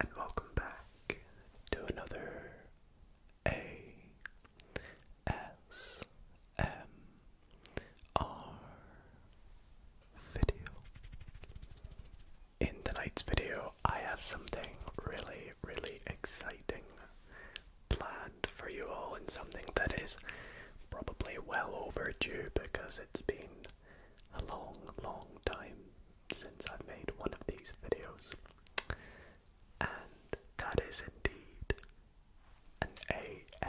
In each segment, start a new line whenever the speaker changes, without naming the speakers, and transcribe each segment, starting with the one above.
And welcome back to another A S M R video. In tonight's video, I have something really, really exciting planned for you all, and something that is probably well overdue because it's been a long, long time since I've made one of these videos, and that is indeed an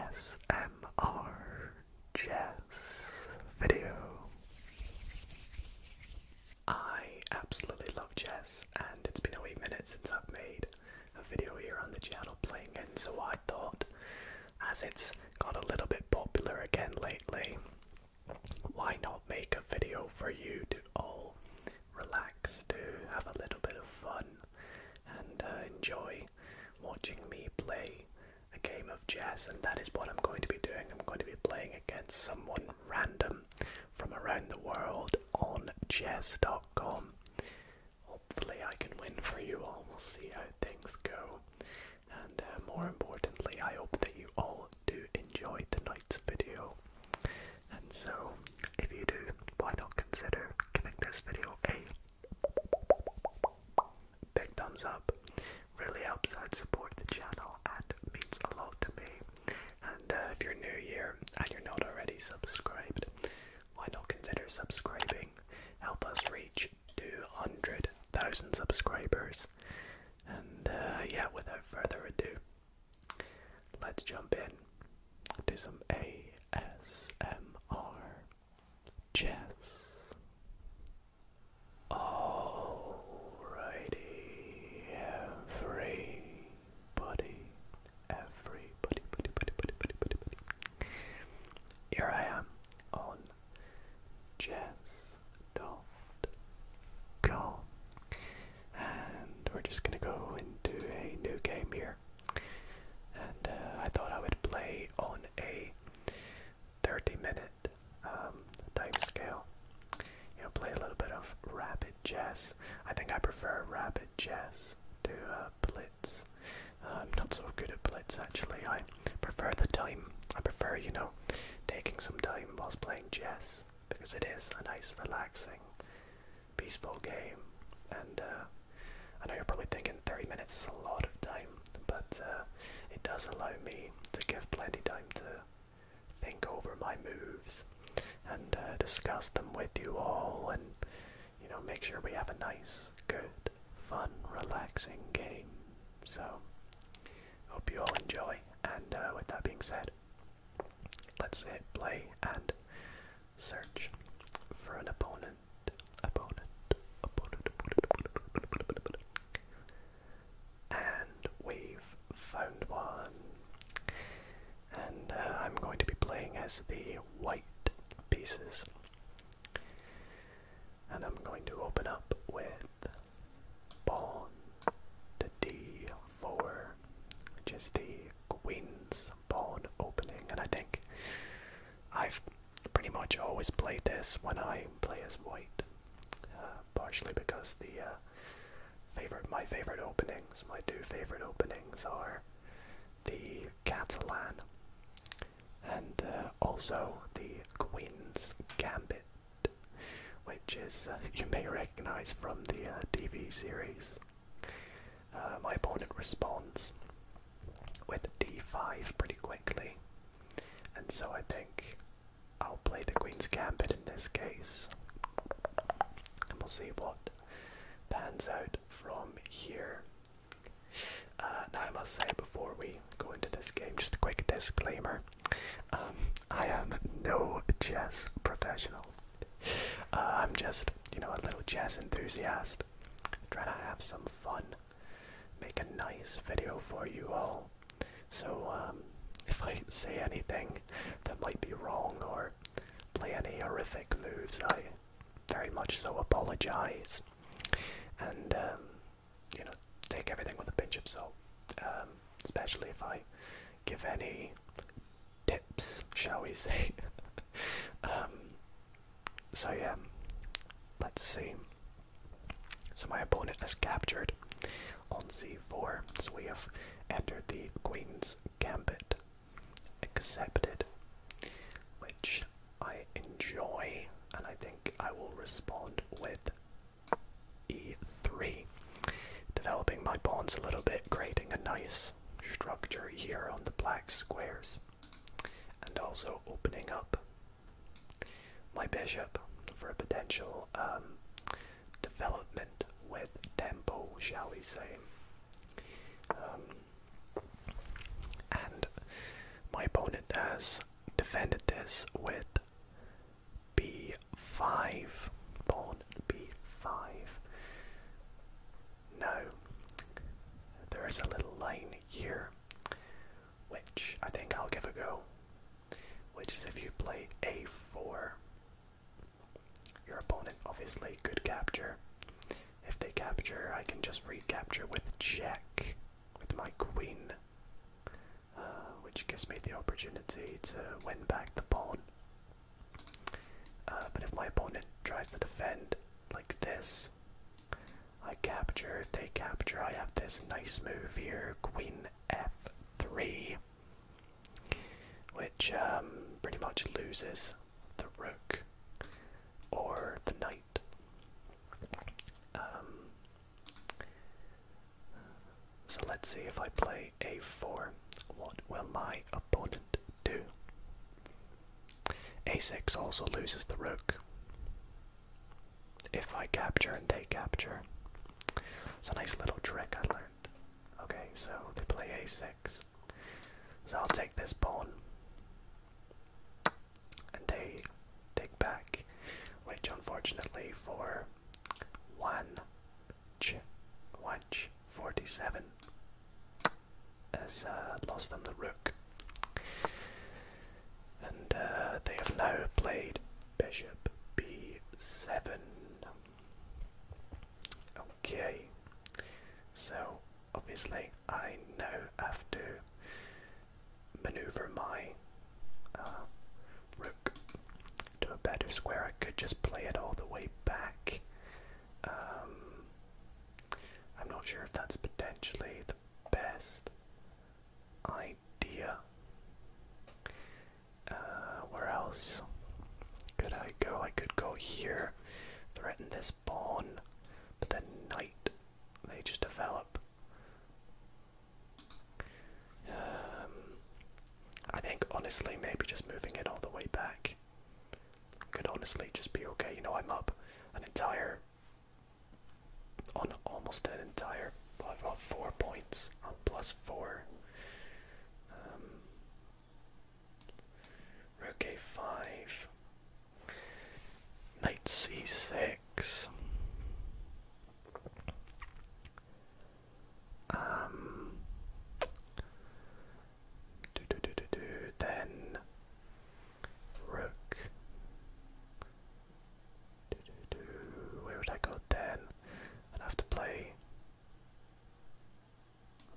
ASMR jazz video. I absolutely love jazz, and it's been a wee since I've made a video here on the channel playing it, so I thought, as it's got a little bit popular again lately, why not make a video for you to all relax, to have a little bit of fun, and uh, enjoy watching me play a game of chess? And that is what I'm going to be doing. I'm going to be playing against someone random from around the world on chess.com. Hopefully, I can win for you all. We'll see how things go. And uh, more importantly, I hope that you all do enjoy the night's video. And so, if you do, why not consider giving this video a big thumbs up? Really helps out uh, support the channel and means a lot to me. And uh, if you're new here and you're not already subscribed, why not consider subscribing? Help us reach 200,000 subscribers. And uh, yeah, without further ado, let's jump in to some ASMR chess. Alrighty, everybody, everybody, buddy, buddy, buddy, Here I am on chess dot com. And we're just gonna go into a new game here. And uh, I thought I would play on a 30 minute um, scale. You know, play a little bit of rapid chess. I think I prefer rapid chess to uh, blitz. Uh, I'm not so good at blitz actually. I prefer the time. I prefer, you know, taking some time whilst playing chess because it is a nice, relaxing, peaceful game. And uh, I know you're probably thinking 30 minutes is a lot of time, but uh, it does allow me to give plenty time to think over my moves and uh, discuss them with you all and you know make sure we have a nice good fun relaxing game so Hope you all enjoy, and uh, with that being said, let's hit play and search for an opponent. Opponent, opponent, opponent, opponent, opponent. And we've found one. And uh, I'm going to be playing as the white pieces. And I'm going to open up with pawn to d4, which is the queen's pawn opening. And I think I've pretty much always played this when I play as white, uh, partially because the uh, favorite my favorite openings, my two favorite openings are the Catalan and uh, also the Queen's Gambit which is uh, you may recognize from the uh, TV series. Uh, my opponent responds with d5 pretty quickly, and so I think I'll play the Queen's Gambit in this case, and we'll see what pans out from here. Uh, now, I must say before we go into this game, just a quick disclaimer. Um, I am no chess professional. Uh, I'm just, you know, a little chess enthusiast. Trying to have some fun. Make a nice video for you all. So, um, if I say anything that might be wrong or play any horrific moves, I very much so apologize. And, um, you know take everything with a pinch of salt, um, especially if I give any tips, shall we say? Um, so yeah, let's see. So my opponent has captured on c4, so we have entered the queen's gambit, accepted, which I enjoy, and I think I will respond with e3. Developing my bonds a little bit, creating a nice structure here on the black squares, and also opening up my bishop for a potential um, development with tempo, shall we say. Um, and my opponent has defended this with b5. Pawn b5. Now, there is a little line here, which I think I'll give a go. Which is if you play a4, your opponent obviously could capture. If they capture, I can just recapture with check with my queen. Uh, which gives me the opportunity to win back the pawn. Uh, but if my opponent tries to defend like this, I capture, they capture, I have this nice move here, queen f3, which um, pretty much loses the rook or the knight. Um, so let's see if I play a4, what will my opponent do? a6 also loses the rook. If I capture and they capture. It's a nice little trick I learned. Okay, so they play a6. So I'll take this pawn. And they take back, which unfortunately for one ch has uh, lost on the rook. And uh, they have now played bishop b7. Okay, so obviously I now have to maneuver my uh, rook to a better square. I could just play it all the way back. Um, I'm not sure if that's potentially the best idea. Uh, where else could I go? I could go here, threaten this pawn, but then knight. They just develop um, I think honestly, maybe just moving it all the way back could honestly just be okay. You know, I'm up an entire on almost an entire. I've got four points. I'm plus four. Um, 5 Knight c6. Um, do, do, do, do, do. Then rook. Do, do, do. Where would I go then? I'd have to play.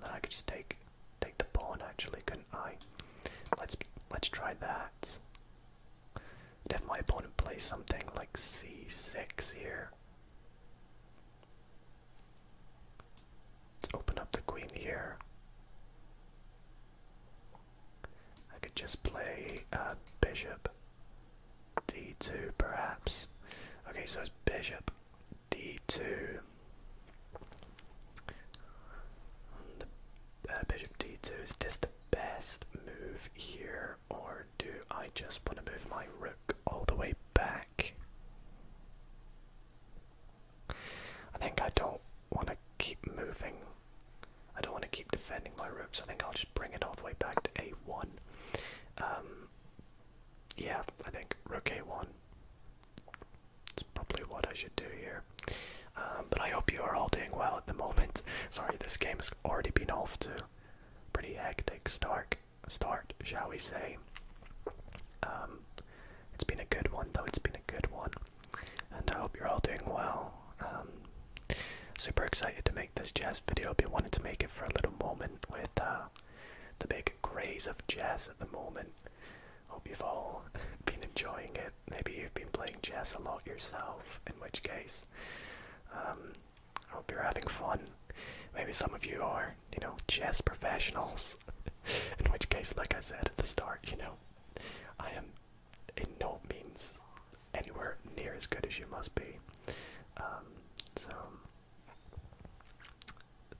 Then I could just take take the pawn. Actually, couldn't I? Let's let's try that. If my opponent plays something like c6 here, Let's open up the queen here. I could just play uh, bishop d2 perhaps. Okay, so it's bishop d2. The, uh, bishop d2, is this the best move here? or do I just want to move my rook all the way back? I think I don't want to keep moving. I don't want to keep defending my rooks. I think I'll just bring it all the way back to a1. Um, yeah, I think rook a1. It's probably what I should do here. Um, but I hope you are all doing well at the moment. Sorry, this game has already been off to pretty hectic start, start shall we say. Um, it's been a good one, though. It's been a good one. And I hope you're all doing well. Um, super excited to make this jazz video. I've been wanting to make it for a little moment with uh, the big craze of jazz at the moment. Hope you've all been enjoying it. Maybe you've been playing jazz a lot yourself, in which case, um, I hope you're having fun. Maybe some of you are, you know, chess professionals. In which case, like I said at the start, you know, I am in no means anywhere near as good as you must be. Um, so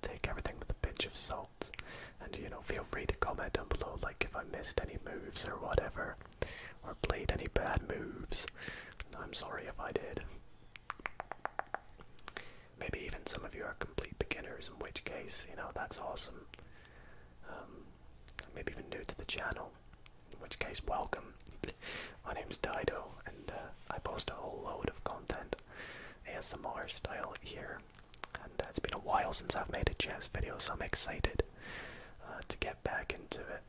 take everything with a pinch of salt, and you know, feel free to comment down below, like if I missed any moves or whatever, or played any bad moves. I'm sorry if I did. Maybe even some of you are complete beginners, in which case, you know, that's awesome. Um, maybe even new to the channel, in which case, welcome. My name is Dido, and uh, I post a whole load of content, ASMR style, here. And it's been a while since I've made a chess video, so I'm excited uh, to get back into it.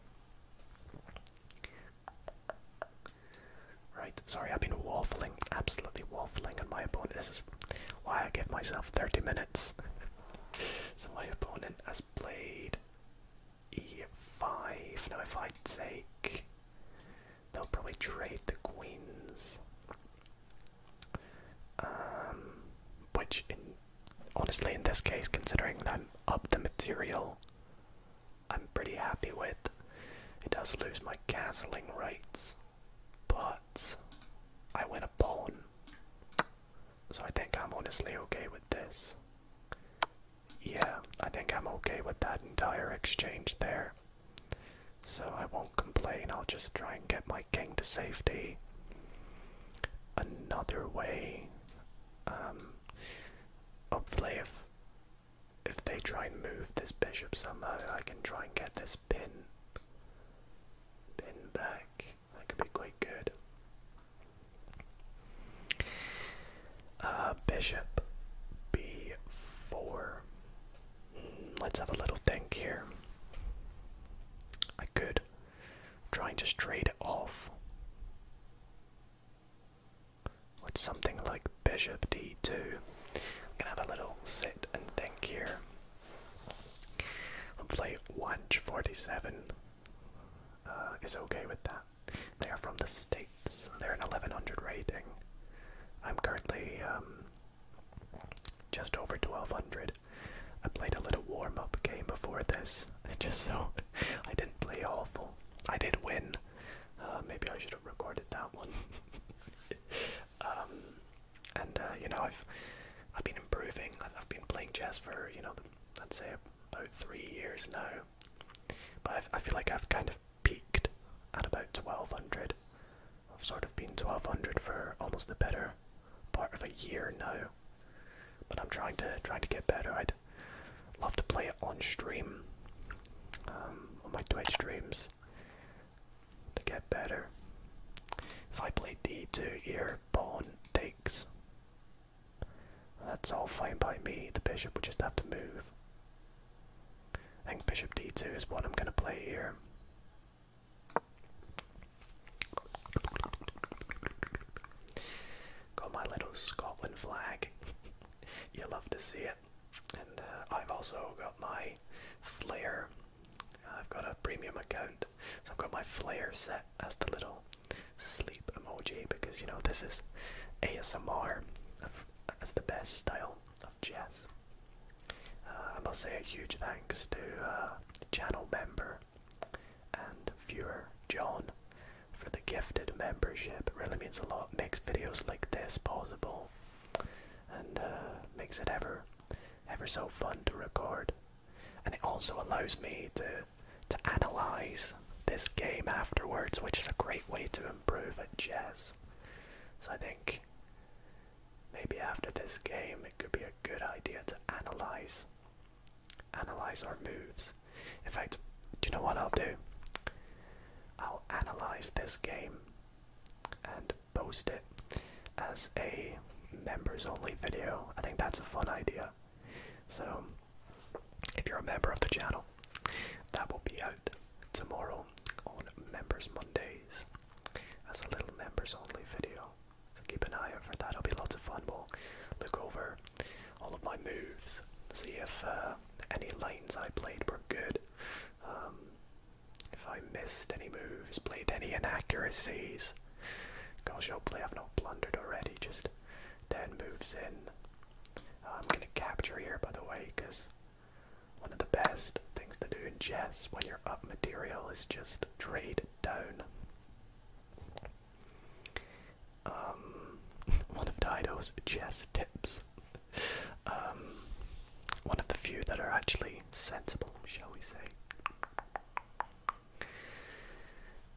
Right, sorry, I've been waffling, absolutely waffling on my opponent. This is why I gave myself 30 minutes. so my opponent has played e5. Now if I take, they'll probably trade the queens. Um, which, honestly, in this case, considering I'm up the material, I'm pretty happy with. It does lose my castling rights, but I win a pawn. So I think I'm honestly okay with this. Yeah, I think I'm okay with that entire exchange there. So I won't complain, I'll just try and get my king to safety. Another way. Um, Hopefully, if they try and move this bishop somehow, I can try and get this pin pin back. That could be quite good. Uh, bishop b4. Hmm, let's have a little think here. I could try and just trade it off with something like bishop d2. I'm gonna have a little sit and think here. Hopefully, 147 uh, is okay with that. They are from the States, they're an 1100 rating. I'm currently um, just over 1200. I played a little warm up game before this, just so I didn't play awful. I did win. Uh, maybe I should have recorded that one. Um, and uh, you know, I've I've been improving. I've been playing chess for you know, I'd say about three years now. But i feel like I've kind of peaked at about 1200. I've sort of been 1200 for almost the better part of a year now. But I'm trying to trying to get better. Love to play it on stream, um, on my Twitch streams, to get better. If I play d2 here, pawn takes. That's all fine by me. The bishop would just have to move. I think bishop d2 is what I'm going to play here. Got my little Scotland flag. you love to see it. And uh, I've also got my Flare. Uh, I've got a premium account, so I've got my Flare set as the little sleep emoji because you know this is ASMR as the best style of jazz. Uh, I must say a huge thanks to channel member and viewer John for the gifted membership. It really means a lot. makes videos like this possible and uh, makes it ever ever so fun to record. And it also allows me to to analyze this game afterwards, which is a great way to improve at chess. So I think maybe after this game it could be a good idea to analyze analyze our moves in fact, do you know what I'll do? I'll analyze this game and post it as a members only video. I think that's a fun idea. So, if you're a member of the channel, that will be out tomorrow on Members Mondays as a little members only video. So, keep an eye out for that. It'll be lots of fun. We'll look over all of my moves, see if uh, any lanes I played were good. Um, if I missed any moves, played any inaccuracies. Gosh, hopefully oh, I've not blundered already, just then, moves in. Uh, I'm gonna capture here, by the way, because one of the best things to do in chess when you're up material is just trade down. Um, one of Dido's chess tips. Um, one of the few that are actually sensible, shall we say.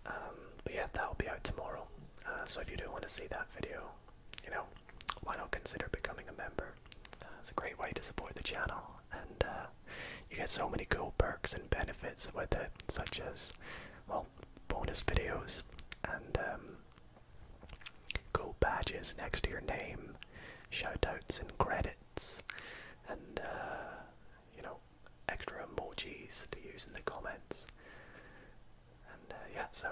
Um, but yeah, that'll be out tomorrow. Uh, so if you do want to see that video, you know, why not consider becoming a member? Uh, it's a great way to support the channel, and uh, you get so many cool perks and benefits with it, such as, well, bonus videos and um, cool badges next to your name, shoutouts and credits, and uh, you know extra emojis to use in the comments. And uh, yeah, so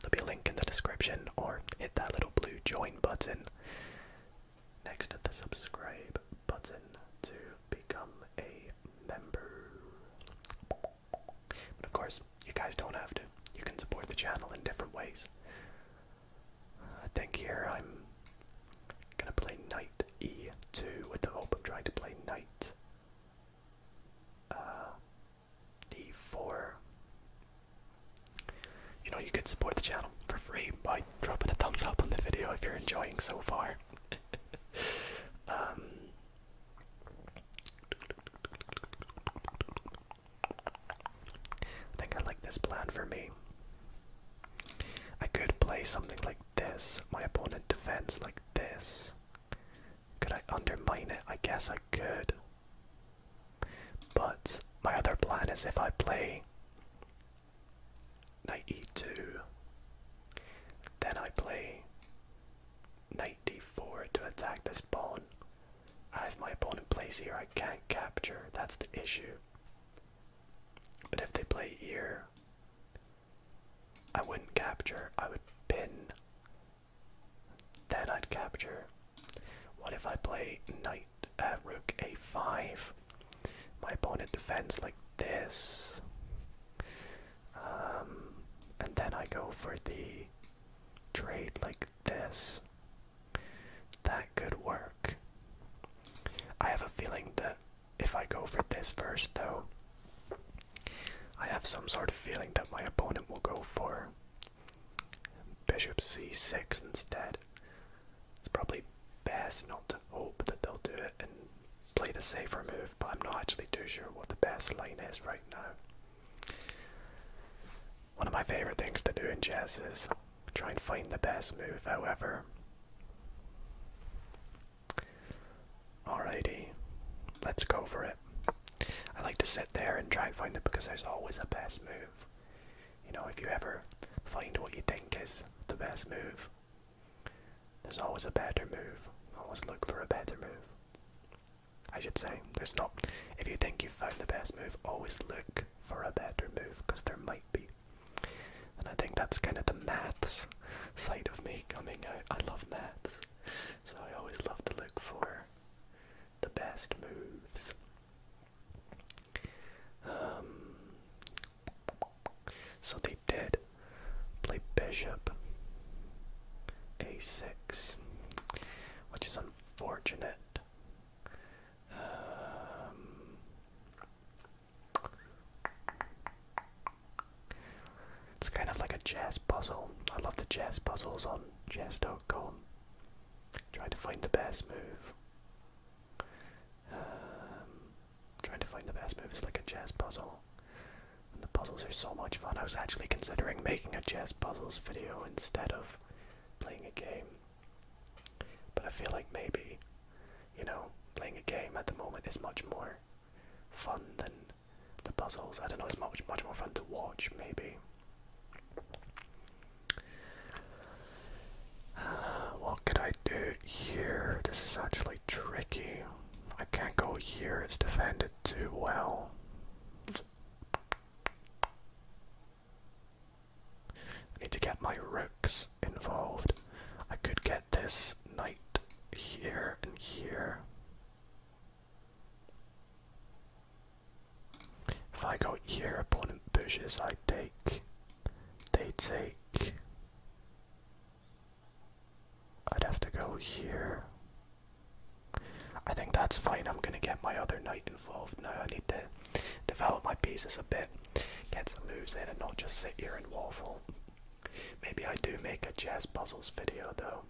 there'll be a link in the description, or hit that little blue join button next to the subscribe button to become a member. But of course, you guys don't have to. You can support the channel in different ways. I think here I'm gonna play knight e2 with the hope of trying to play knight d4. Uh, you know, you can support the channel for free by dropping a thumbs up on the video if you're enjoying so far. Um, I think I like this plan for me. I could play something like this. My opponent defends like this. Could I undermine it? I guess I could. But my other plan is if I play knight e2, then I play knight d4 to attack this pawn. I have my opponent plays here, I can't capture, that's the issue. But if they play here, I wouldn't capture, I would pin. Then I'd capture. What if I play knight, uh, rook a5? My opponent defends like this. Um, and then I go for the trade like this. That could work. I have a feeling that if I go for this first, though, I have some sort of feeling that my opponent will go for bishop c6 instead. It's probably best not to hope that they'll do it play the safer move, but I'm not actually too sure what the best lane is right now. One of my favorite things to do in chess is try and find the best move, however. Alrighty, let's go for it. I like to sit there and try and find it because there's always a best move. You know, if you ever find what you think is the best move, there's always a better move. Always look for a better move. I should say. There's not. If you think you've found the best move, always look for a better move because there might be. And I think that's kind of the maths side of me coming out. I love maths, so I always love to look for the best moves. Um, so they did play bishop a6, which is unfortunate. Um, it's kind of like a chess puzzle. I love the chess puzzles on chess.com. Trying to find the best move. Um, trying to find the best move is like a chess puzzle the puzzles are so much fun. I was actually considering making a chess puzzles video instead of playing a game. But I feel like maybe, you know, playing a game at the moment is much more fun than the puzzles. I don't know, it's much, much more fun to watch, maybe. what could I do here? This is actually tricky. I can't go here, it's defended too well. I need to get my rooks involved. I could get this knight here and here. If I go here, opponent pushes, I take. They take. I'd have to go here. I think that's fine. I'm gonna get my other knight involved now. I need to develop my pieces a bit, get some moves in, and not just sit here and waffle. Maybe I do make a jazz puzzles video though.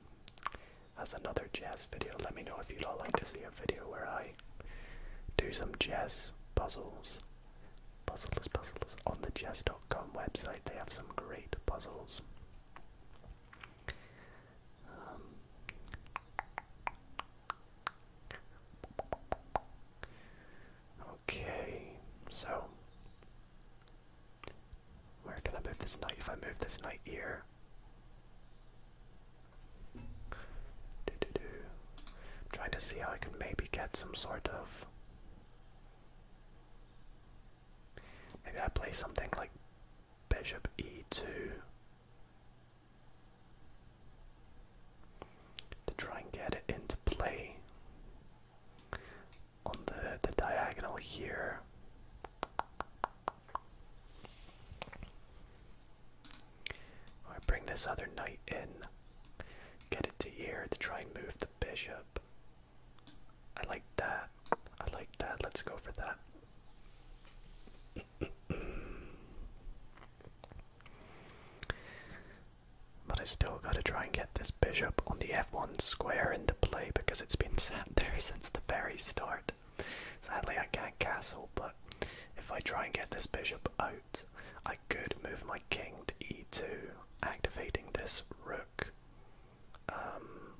As another jazz video, let me know if you'd all like to see a video where I do some jazz puzzles. Puzzles, puzzles on the jazz.com website. They have some great puzzles. Um, okay, so where can I move this knight? If I move this knight here, trying to see how I can maybe get some sort of Maybe I play something like bishop e2 to try and get it into play on the, the diagonal here. I bring this other knight in, get it to here to try and move the bishop. I like that. I like that. Let's go for that. but I still gotta try and get this bishop on the f1 square into play because it's been sat there since the very start. Sadly, I can't castle, but if I try and get this bishop out, I could move my king to e2, activating this rook. Um,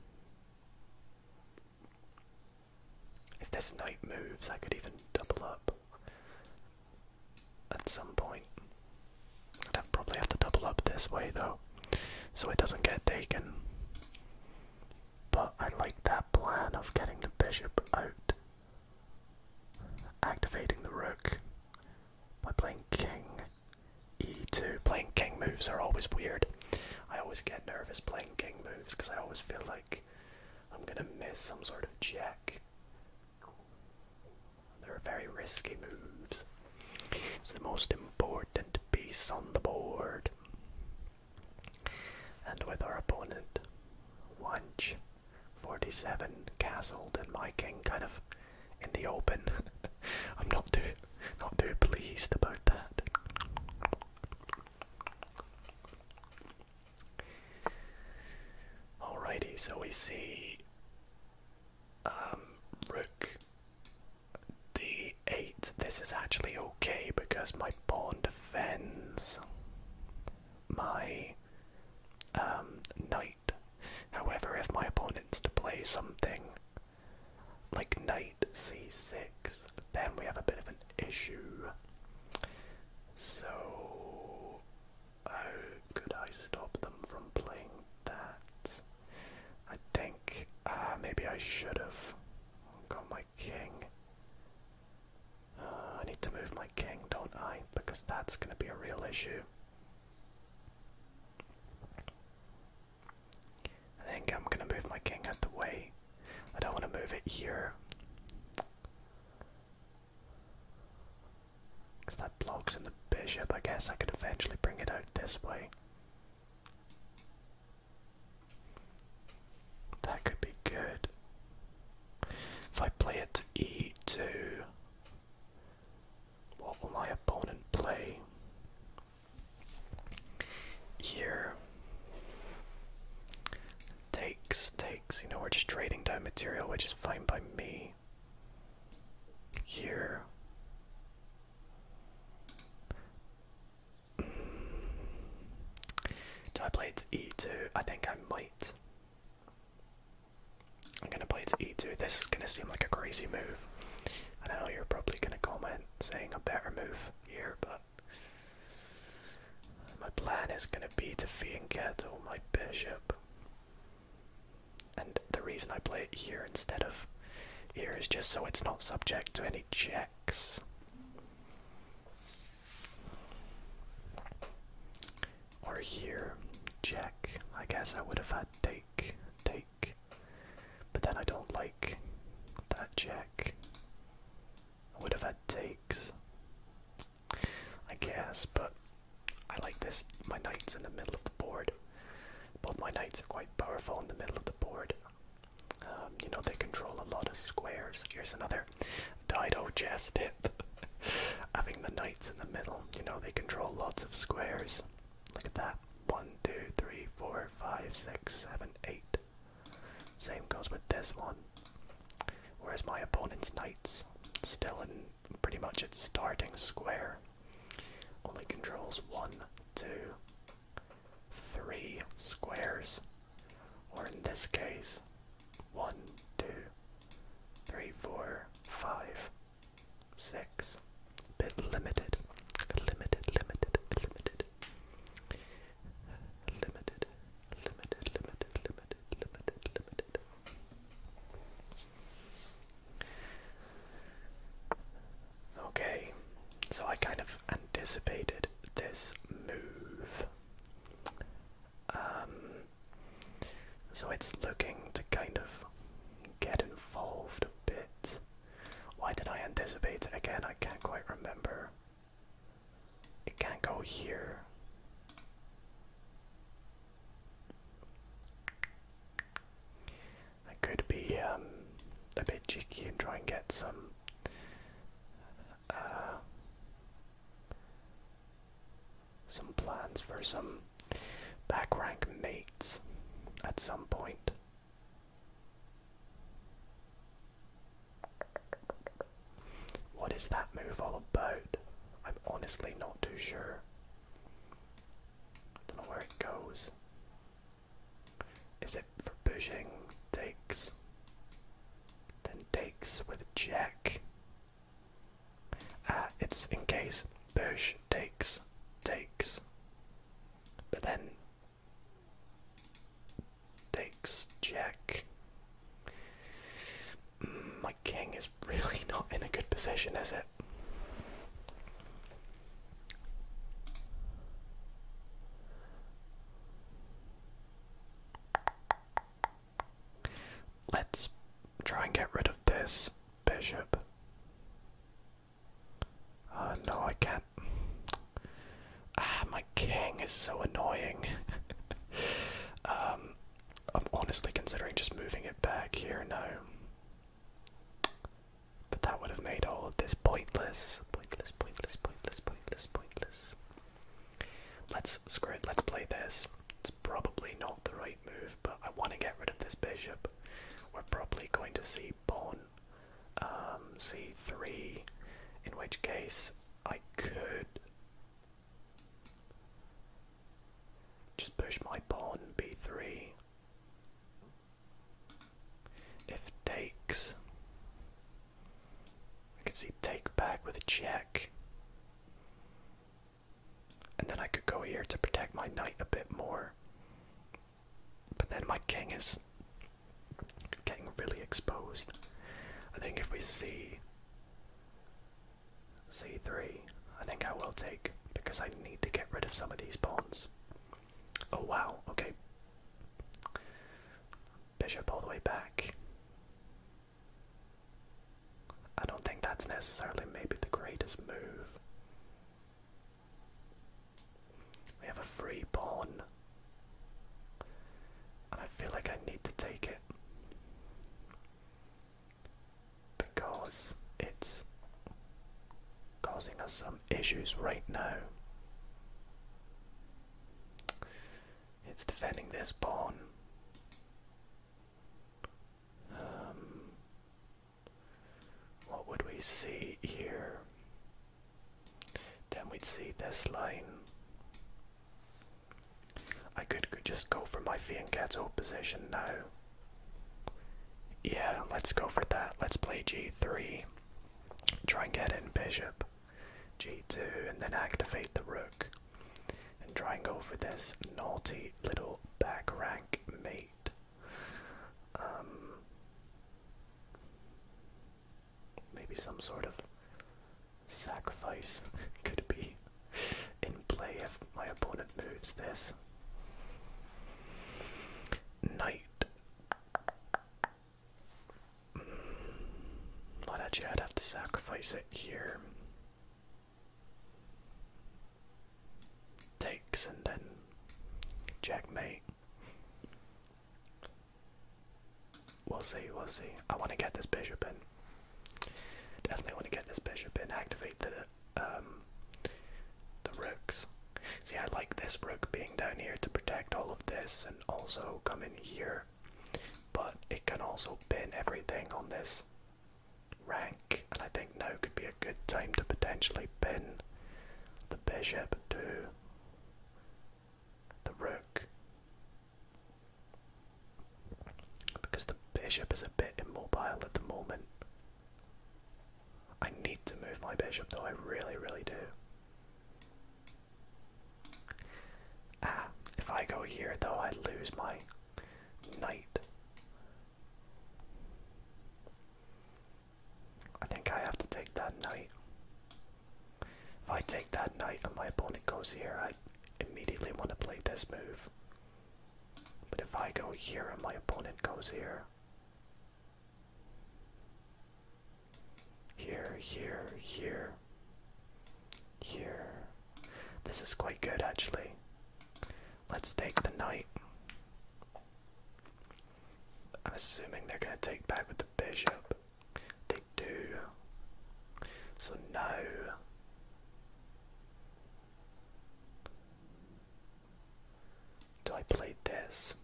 if this knight moves, I could even double up at some point. I'd probably have to double up this way though, so it doesn't get taken. But I like that plan of getting the bishop out, activating the rook by playing king e2. Playing king moves are always weird. I always get nervous playing king moves because I always feel like I'm gonna miss some sort of check. They're very risky moves. It's the most important piece on the board. And with our opponent, Wunch, 47, castled, and my king kind of in the open. I'm not too not too pleased about that. Alrighty, so we see um, Rook D8. This is actually okay because my pawn defends my um, knight. However, if my opponent's to play something like knight c6, then we have a bit of an issue. So, could I stop them from playing that? I think uh, maybe I should have oh, got my king. Uh, I need to move my king, don't I? Because that's going to be a real issue. I think I'm gonna move my king out the way. I don't want to move it here. Because that blocks in the bishop. I guess I could eventually bring it out this way. That could be good. If I play it to e2, what will my opponent play? Here takes, takes. You know, we're just trading down material, which is fine by me. Here. Do I play to e2? I think I might. I'm gonna play to e2. This is gonna seem like a crazy move. I know you're probably gonna comment saying a better move here, but my plan is going to be to Fianchetto my bishop. And the reason I play it here instead of here is just so it's not subject to any checks. Or here, check. I guess I would have had take, take but then I don't like that check. I would have had takes. I guess, but I like this. My knight's in the middle of the board. Both my knights are quite powerful in the middle of the board. Um, you know, they control a lot of squares. Here's another Dido chess tip. Having the knights in the middle, you know, they control lots of squares. Look at that. One, two, three, four, five, six, seven, eight. Same goes with this one. Whereas my opponent's knights still in pretty much its starting square. Only controls one, two, three squares. Or in this case, one, two, three, four, five, six, is limited. Limited, limited, limited. Limited, limited, limited, limited, limited, limited. Okay, so I kind of anticipated this move. Um, so it's looking to kind of get involved a bit why did I anticipate? Again, I can't quite remember. It can't go here. I could be um, a bit cheeky and try and get some. Uh, some plans for some back rank mates at some point. What is that move all about? I'm honestly not too sure. Don't know where it goes. Is it for pushing? Takes. Then takes with jack. Ah, uh, it's in case push takes takes. But then Thanks, Jack. Mm, my king is really not in a good position, is it? Let's try and get rid of this bishop. Uh, no, I can't. Ah, my king is so annoying. um, I'm honestly considering just moving it back here now. But that would have made all of this pointless. Pointless, pointless, pointless, pointless, pointless. Let's screw it, let's play this. It's probably not the right move, but I want to get rid of this bishop. We're probably going to see pawn um, c3, in which case I could just push my pawn b3. If takes, I can see take back with a check. And then I could go here to protect my knight a bit more. But then my king is getting really exposed. I think if we see c3, I think I will take because I need to get rid of some of these pawns. Oh wow, okay. Bishop all the way back. I don't think that's necessarily maybe the greatest move. We have a free pawn. And I feel like I need to take it. Because it's causing us some issues right now. It's defending this pawn. Um, what would we see here? Then we'd see this line. I could, just go for my Fianchetto position now. Yeah, let's go for that. Let's play g3. Try and get in bishop. g2 and then activate the rook. And try and go for this naughty little back rank mate. Um, Maybe some sort of sacrifice could be in play if my opponent moves this. Knight. Mm, not actually, I'd have to sacrifice it here. Takes and then checkmate. We'll see, we'll see. I want to get this bishop in. Definitely want to get this bishop and Activate the um the rooks. See, I like this rook being down here to protect all of this and also come in here. But it can also pin everything on this rank, and I think now could be a good time to potentially pin the bishop to the rook. Because the bishop is a bit immobile at the moment. I need to move my bishop though, I really, really do. Ah, if I go here though, I lose my knight. I think I have to take that knight. If I take that knight and my opponent goes here, I immediately want to play this move. But if I go here and my opponent goes here, here, here, here, here. This is quite good actually. Let's take the knight. I'm assuming they're going to take back with the bishop. They do. So no. Do I play this?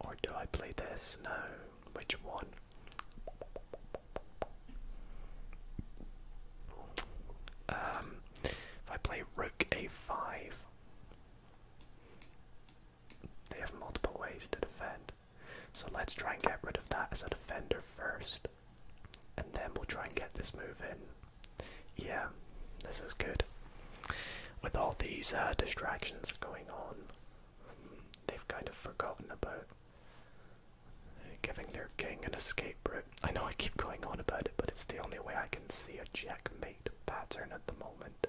Or do I play this? No. Which one? Um, if I play rook a5, they have multiple ways to defend. So let's try and get rid of that as a defender first. And then we'll try and get this move in. Yeah, this is good. With all these uh, distractions going on, they've kind of forgotten about giving their king an escape route. I know I keep going on about it, but it's the only way I can see a checkmate pattern at the moment.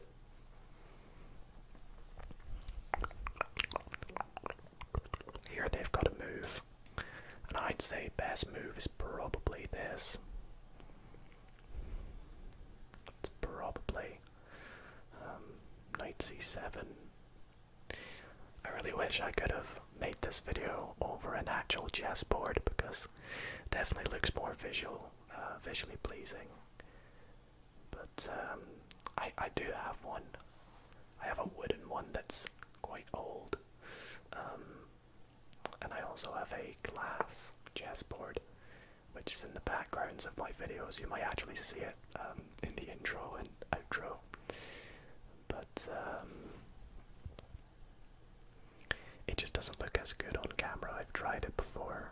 Here they've got a move, and I'd say best move is probably this. It's probably um, knight c7. I really wish I could have made this video over an actual chess board because Definitely looks more visual, uh, visually pleasing. But um, I I do have one. I have a wooden one that's quite old, um, and I also have a glass chessboard, which is in the backgrounds of my videos. You might actually see it um, in the intro and outro. But it just doesn't look as good on camera. I've tried it before.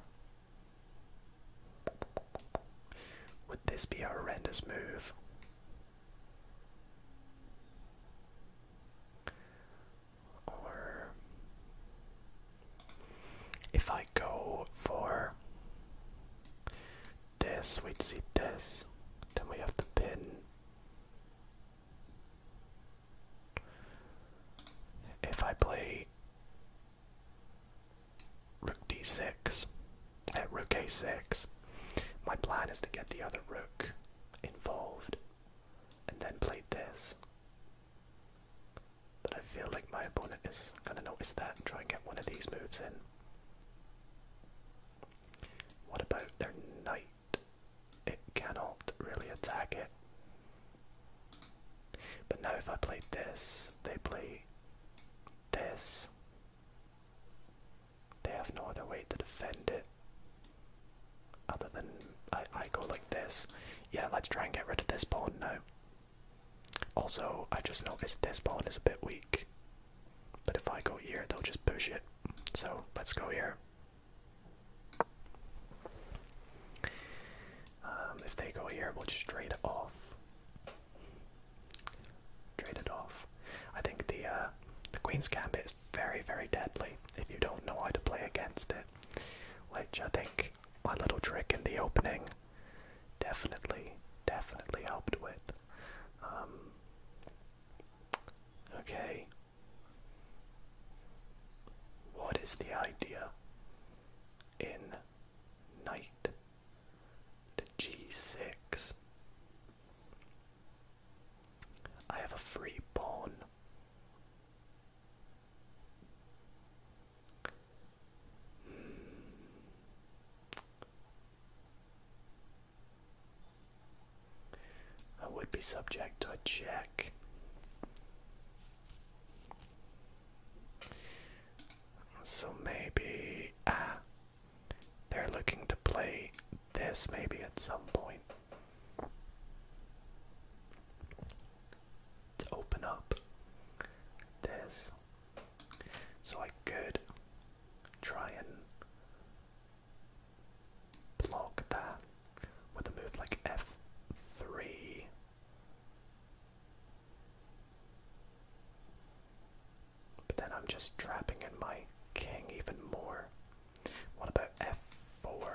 Would this be a horrendous move? Or if I go for this, we'd see this. Then we have the pin. If I play rook d6 at rook a6, my plan is to get the other rook involved and then play this. But I feel like my opponent is going to notice that and try and get one of these moves in. What about their knight? it cannot really attack it. But now if I play this, they play this. They have no other way to defend it. Other than I, I go like this. Yeah, let's try and get rid of this pawn now. Also, I just noticed this pawn is a bit weak. But if I go here, they'll just push it. So let's go here. Um, if they go here, we'll just trade it off. Trade it off. I think the uh, the Queen's Gambit is very, very deadly if you don't know how to play against it. Which I think my little trick in the opening definitely, definitely helped with. Um, okay, what is the idea in knight to g6? I have a free pawn. Hmm. I would be subject to a check. So maybe ah, they're looking to play this maybe at some point to open up this. So I could try and block that with a move like f3. But then I'm just trapping in my king even more. What about f4?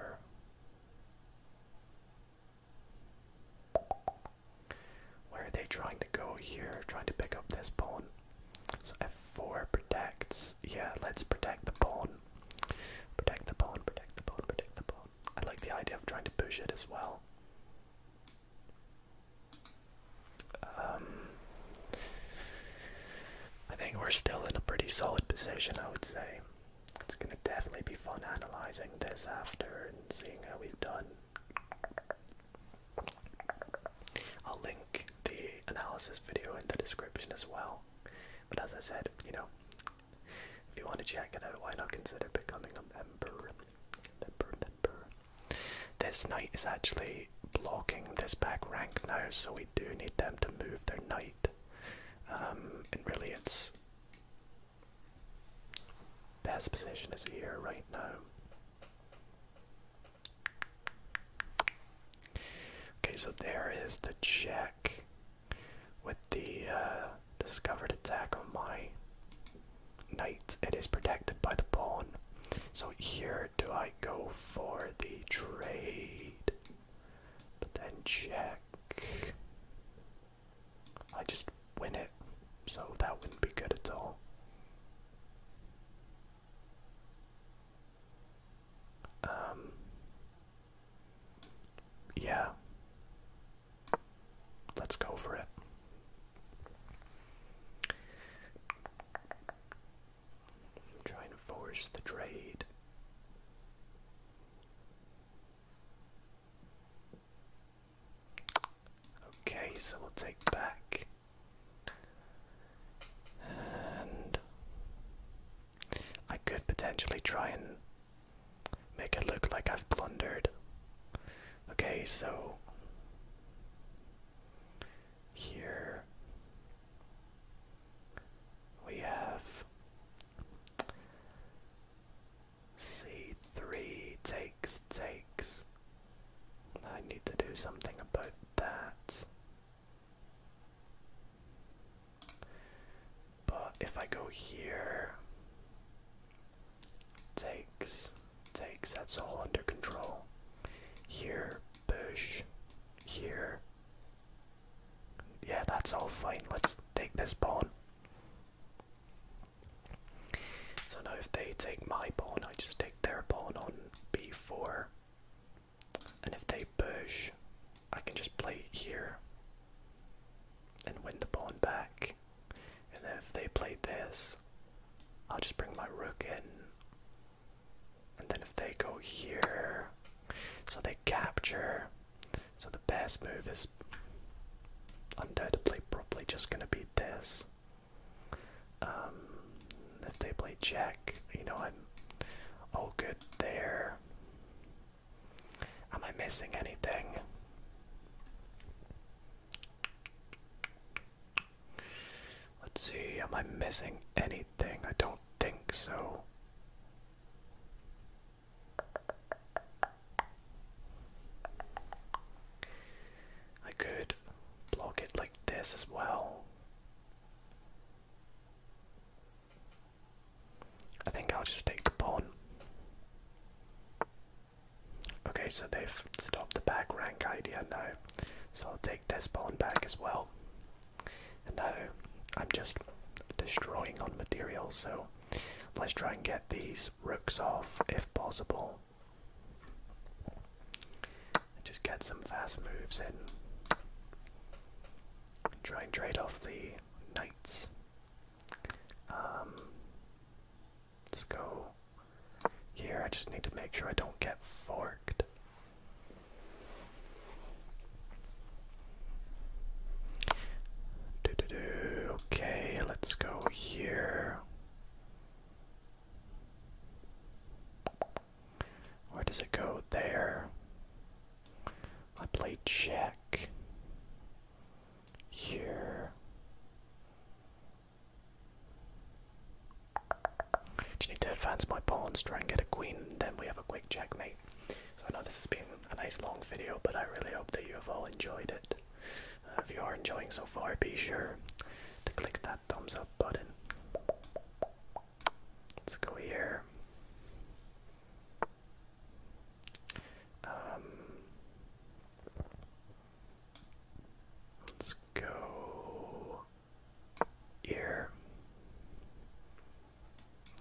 Where are they trying to go here? Trying to pick up this pawn. So f4 protects yeah, let's protect the pawn. Protect the pawn, protect the pawn, protect the pawn. I like the idea of trying to push it as well. Um, I think we're still in a pretty solid position, I would say. It's gonna definitely be fun analyzing this after and seeing how we've done. I'll link the analysis video in the description as well. But as I said, you know, if you want to check it out, why not consider becoming a member? Member, member. This knight is actually blocking this back rank now, so we do need them to move their knight. Um, and really, it's best position is here right now. Okay, so there is the check with the uh, discovered attack on my knight. It is protected by the pawn. So here do I go for the trade? But then check. I just win it, so that wouldn't be good at all. Um, yeah. Let's go for it. trying to force the trade. Okay, so we'll take back. And I could potentially try and make it look like I've blundered. Okay, so here we have C3 takes takes. I need to do something about that. But if I go here, takes, takes, that's all under control. Here, push, here. Yeah, that's all fine. Let's take this pawn. So now if they take my pawn, I just take their pawn on b4. And if they push, I can just play here and win the pawn back. And if they play this, I'll just bring my rook in. And then if they go here, so they capture. So the best move is undoubtedly probably just gonna be this. Um, if they play check, you know I'm all good there. Am I missing anything? Let's see, am I missing anything? I don't think so. I could block it like this as well. I think I'll just take the pawn. Okay, so they've stopped the back rank idea now, so I'll take this pawn back as well. now I'm just destroying on material, so let's try and get these rooks off if possible. just get some fast moves in. Try and trade off the knights. Um, let's go here. I just need to make sure I don't get forked. Do, do, do. Okay, let's go here. Where does it go? There. I play check. Here. Just need to advance my pawns, try and get a queen, and then we have a quick checkmate. So I know this has been a nice long video, but I really hope that you have all enjoyed it. Uh, if you are enjoying so far, be sure to click that thumbs up button. Let's go here. Um, let's go here.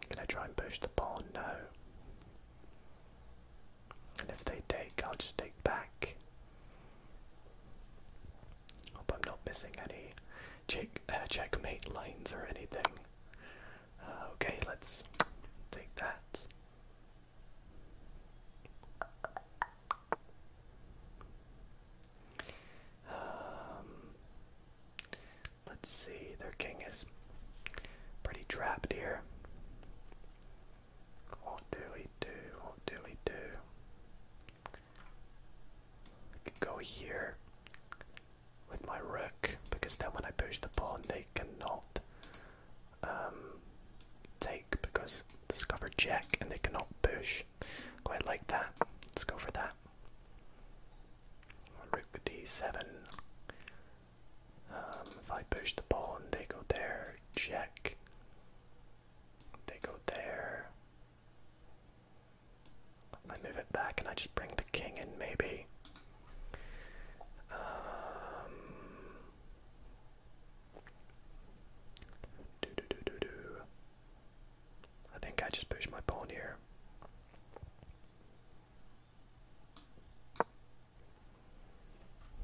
Can I try and push the pawn? No. And if they take, I'll just take back. Hope I'm not missing any check, uh, checkmate lines or anything. Uh, okay, let's take that. Um, let's see, their king is pretty trapped here. What do we do? What do we do? could go here with my rook because then when I push the pawn they cannot um, take because discover check and they cannot push. Quite like that. Let's go for that. Rook d7. Um, if I push the pawn, they go there. Check. They go there. I move it back and I just bring the king in, maybe. do, do, do, do, do. I think I just pushed my pawn here.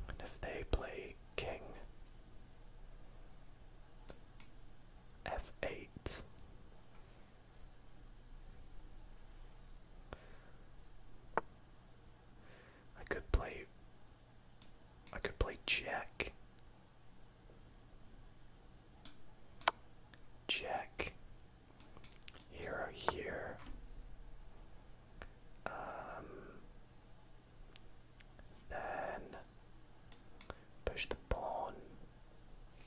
And if they play king f8 I could play I could play check. Check. Hero here. Um then push the pawn.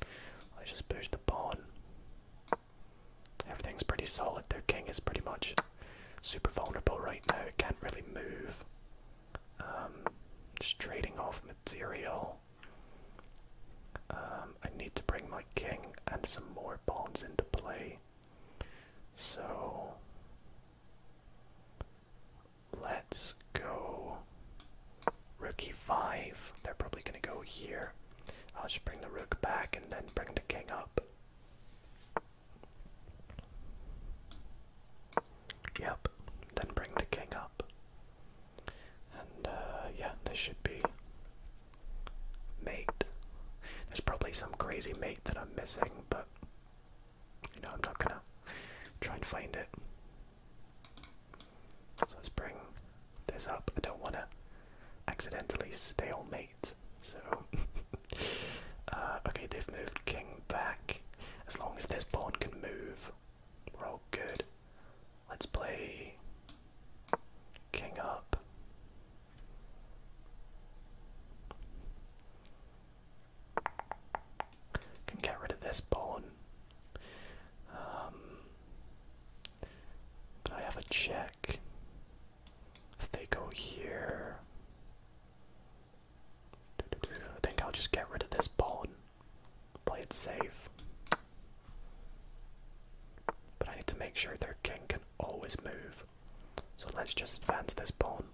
I just push the pawn. Everything's pretty solid. Their king is pretty much super vulnerable right now. It can't really move. Um, just trading off material. Um, I need to bring my king and some more pawns into play. So let's go. Rookie 5. They're probably going to go here. I'll just bring the rook back and then bring the king up. Yep, then bring the king up. And uh, yeah, this should be mate. There's probably some crazy mate that I'm missing, but you know, I'm not gonna try and find it. So let's bring this up. I don't want to accidentally stalemate. So, uh, okay, they've moved king back. As long as this pawn can move, we're all good. Let's play king up. Can get rid of this pawn. Um, I have a check. If they go here, I think I'll just get rid of this ball and play it safe. But I need to make sure their king can always move. So let's just advance this pawn.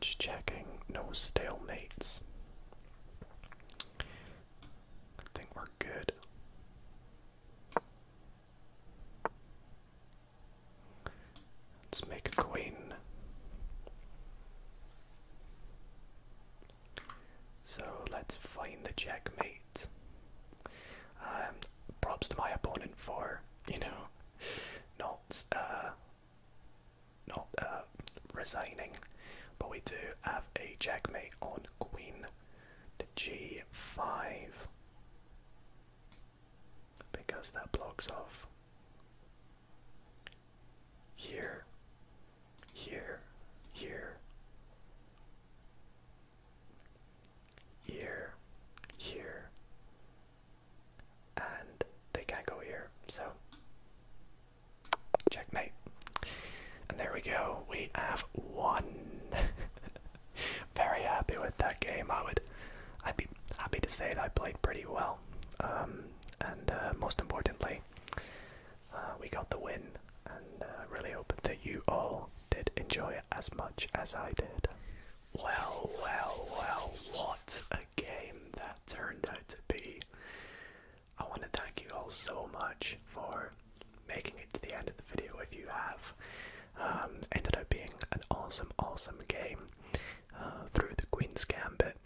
Just checking, no stalemates. I think we're good. Let's make a queen. So let's find the checkmate. Um, props to my opponent for, you know, not uh, not uh, resigning, but we do have a checkmate on queen the g5 because that blocks off here, here, here, here, here, and they can't go here, so checkmate. And there we go, we have won. Very happy with that game. I would, I'd be happy to say that I played pretty well, um, and uh, most importantly, uh, we got the win. And I uh, really hope that you all did enjoy it as much as I did. Well, well, well, what a game that turned out to be. I want to thank you all so much for making it to the end of the video if you have. Um, ended up being an awesome, awesome game uh, through the Queen's Gambit.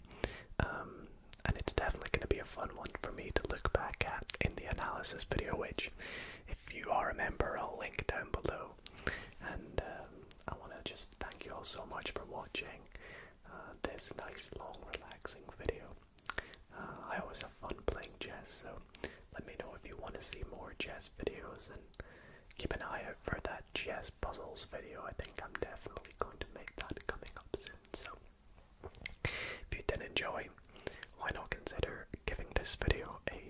Um, and it's definitely going to be a fun one for me to look back at in the analysis video, which, if you are a member, I'll link down below. And um, I want to just thank you all so much for watching uh, this nice, long, relaxing video. Uh, I always have fun playing chess, so let me know if you want to see more chess videos and keep an eye out for that chess puzzles video. I think I'm definitely going to make that coming up soon. So, if you did enjoy, why not consider giving this video a